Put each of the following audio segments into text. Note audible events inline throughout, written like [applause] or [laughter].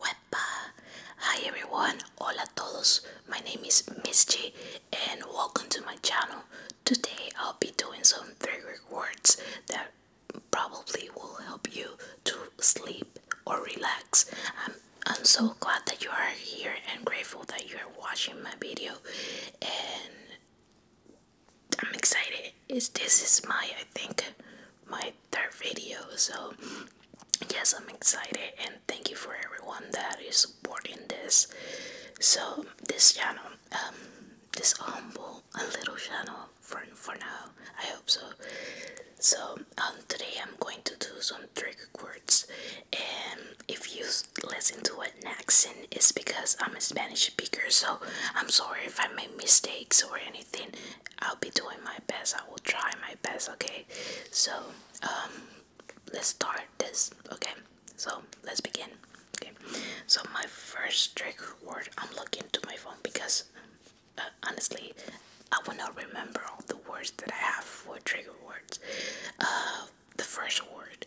Wepa! Hi everyone, hola todos, my name is Misty and welcome to my channel. Today I'll be doing some trigger words that probably will help you to sleep or relax. I'm, I'm so glad that you are here and grateful that you are watching my video and I'm excited. It's, this is my, I think, my third video. So, yes, I'm excited. And thank you for everyone that is supporting this. So, this channel, um, this humble, little channel for, for now. I hope so. So, um, today I'm going to do some trick words. And if you listen to an accent, it's because I'm a Spanish speaker. So I'm sorry if I make mistakes or anything. I'll be doing my best. I will try my best. Okay. So um, let's start this. Okay. So let's begin. Okay. So my first trigger word. I'm looking to my phone because uh, honestly, I will not remember all the words that I have for trigger words. Uh, the first word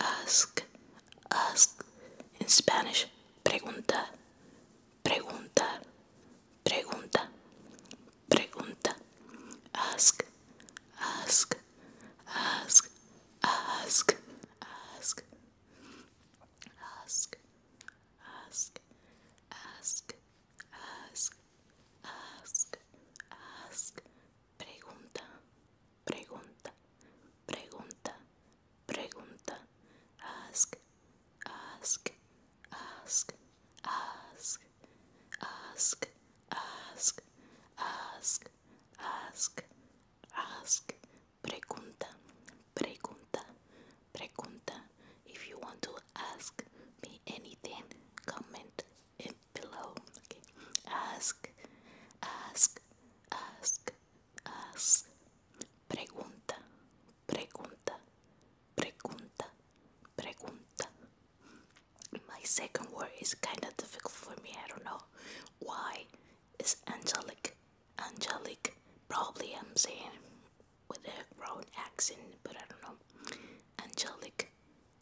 ask, ask. In Spanish, pregunta, pregunta, pregunta, pregunta. Ask, ask, ask, ask, ask, ask, ask, ask, ask, ask, ask, ask, Pregunta, pregunta, pregunta, pregunta. Ask, ask, ask, ask, ask, ask, ask, ask, ask. Pregunta, pregunta, pregunta. If you want to ask me anything, comment below. Okay. Ask, ask, ask, ask. Pregunta, pregunta, pregunta, pregunta. My second word is kind of difficult for me. I don't know why. It's angelic, angelic. Probably I'm saying with a wrong accent, but I don't know. Angelic,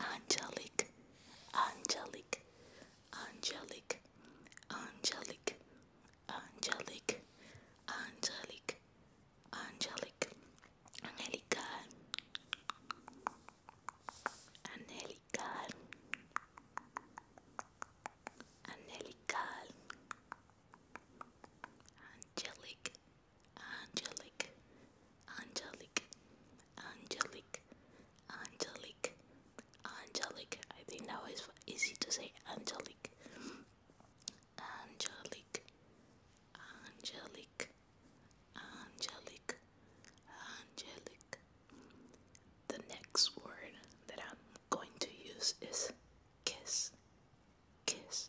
Angelique, Angelique, Angelique, Angelique, Angelique, Angelique, Angelique, Angelica, Angelica, Angelica, Angelique. Angelique, Angelique, Angelique, Angelique, Angelique. I think now it's easy to say Angelique. Angelique, Angelique, Angelique, Angelique. The next word that I'm going to use is kiss, kiss,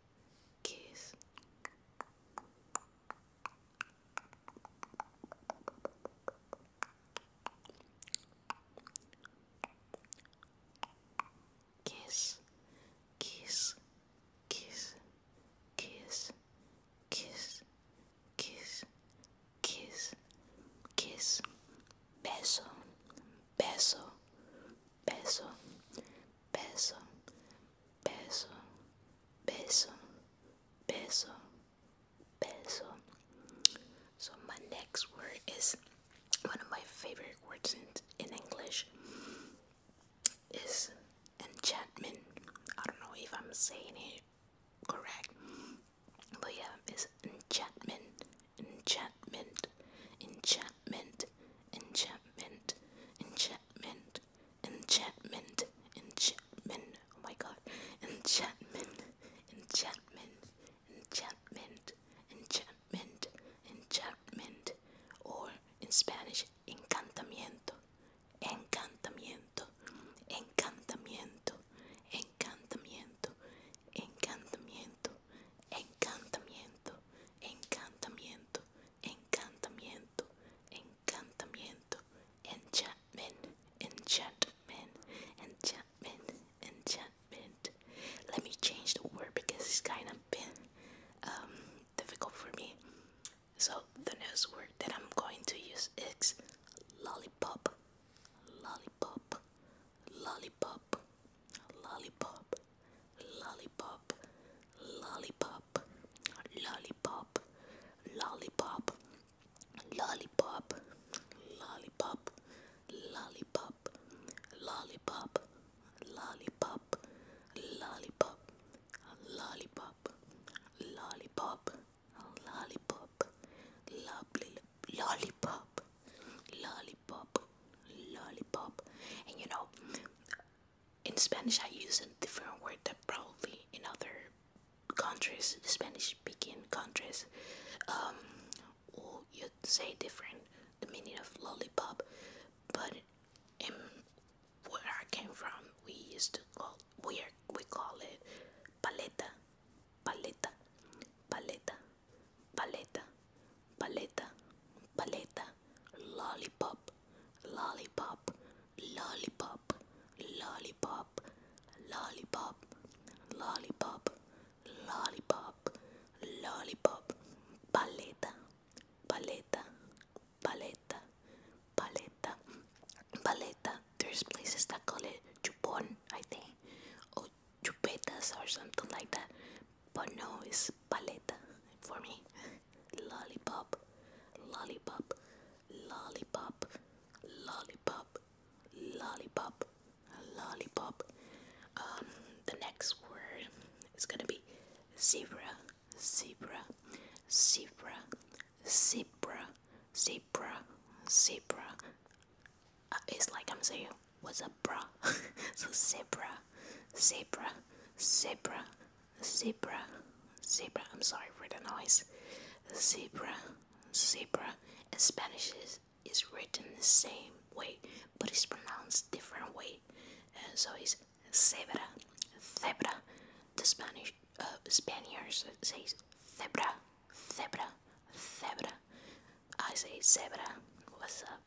kiss. Kiss, kiss, kiss, kiss, kiss, kiss, kiss, kiss, beso, beso, beso, beso, peso, peso, peso, peso. So my next word is one of my favorite words in, in English is enchantment. I don't know if I'm saying it correct, but yeah, it's enchantment, enchantment, enchantment enchantment, enchantment, enchantment, enchantment, enchantment. Oh my god, enchantment, enchantment, enchantment, enchantment, enchantment, or in Spanish, encantamiento, encantamiento, encantamiento, encantamiento, encantamiento, encantamiento encantamiento, encantamiento, encantamiento, encantamiento, enchantment, enchantment, enchantment, enchantment. Let me change the word because it's kind of um, difficult for me. So the next word that I'm going to use is lollipop, lollipop, lollipop lollipop, lollipop, lollipop, lollipop, lollipop, lollipop, lollipop, lollipop, lollipop, lollipop, lollipop, lollipop, lollipop, lollipop, lovely lollipop, lollipop, lollipop, and you know in Spanish, I use a different word that probably in other countries, Spanish-speaking countries, um, you'd say different the meaning of lollipop. But where I came from, we used to call we we call it paleta, paleta, paleta, paleta paleta, paleta, lollipop, lollipop, lollipop, lollipop, lollipop, lollipop, lollipop, paleta, paleta, paleta, paleta, paleta. There's places that call it chupon, I think, or chupetas or something like that but no, it's paleta for me. Lollipop, lollipop, lollipop, lollipop, lollipop, lollipop. Um, the next word is gonna be zebra, zebra, zebra, zebra, zebra, zebra. Uh, it's like I'm saying, what's a bra? [laughs] so zebra, zebra zebra, zebra, zebra. I'm sorry for the noise. Zebra, zebra. In Spanish is, is written the same way, but it's pronounced different way. Uh, so it's zebra, zebra. The Spanish uh, Spaniards say zebra, zebra, zebra. I say zebra. What's up?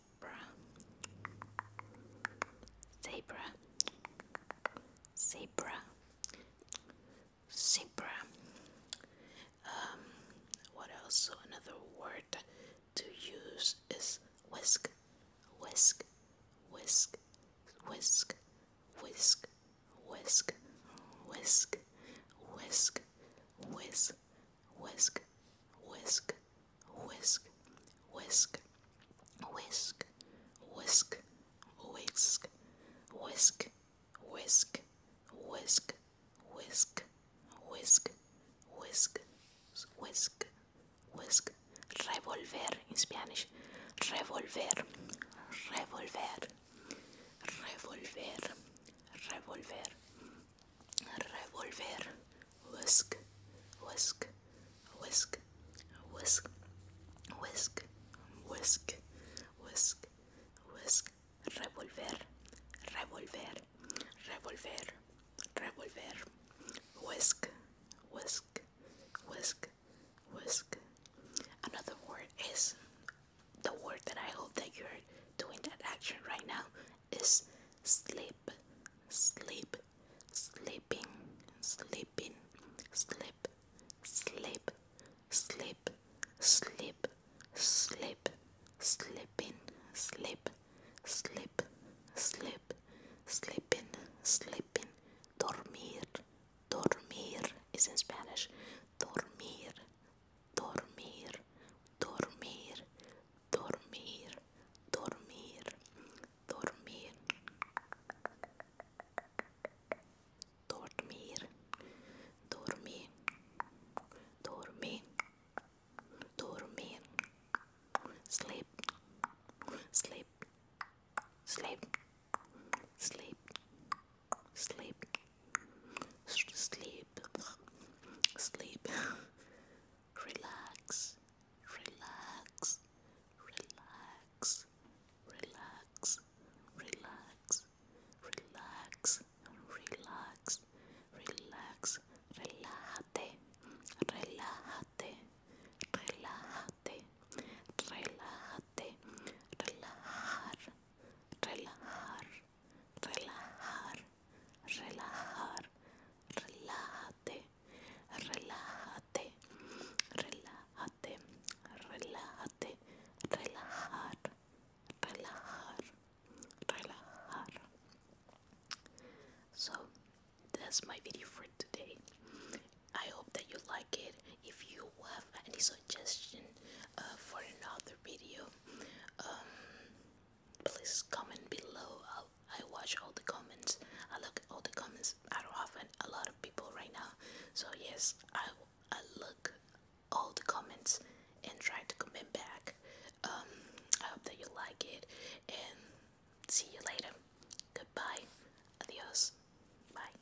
zebra, zebra, zebra, zebra. Um, what else? So another word to use is whisk, whisk, whisk, whisk, whisk, whisk, whisk, whisk, whisk, whisk, whisk, whisk, whisk, whisk, whisk, whisk, whisk, whisk, whisk, whisk, whisk, whisk, whisk, whisk, revolver in Spanish, revolver, revolver, revolver, revolver revolver, whisk, whisk, whisk, whisk, whisk, whisk, whisk, whisk, revolver, revolver, revolver, revolver, whisk, whisk, whisk, whisk. Another word is the word that I hope that you're doing that action right now is sleep, sleep, sleeping, sleeping, sleep, sleep, sleep, sleep, sleep, sleeping, sleep, sleep, sleep, sleeping, sleeping, dormir, dormir is in Spanish, dormir, dormir, dormir, dormir, dormir, dormir, dormir, dormir, dormir, dormir, sleep, sleep, sleep, sleep, sleep, sleep, sleep, sleep, relax, relax, relax, relax, relax, relax, relax, relax, relájate, relájate, relájate, relájate, relajar, relajar, relajar, Relax, relájate, relájate, relájate, relájate, relajar, relajar, relajar. So that's my video for today. I hope that you like it. If you have any suggestion uh, for another video, um, please comment below. i I watch all the comments. I look at all the comments. I don't often a lot of people right now. So yes, I I look all the comments and try to comment back. Um, I hope that you like it and see you later. Goodbye. Adios. Bye.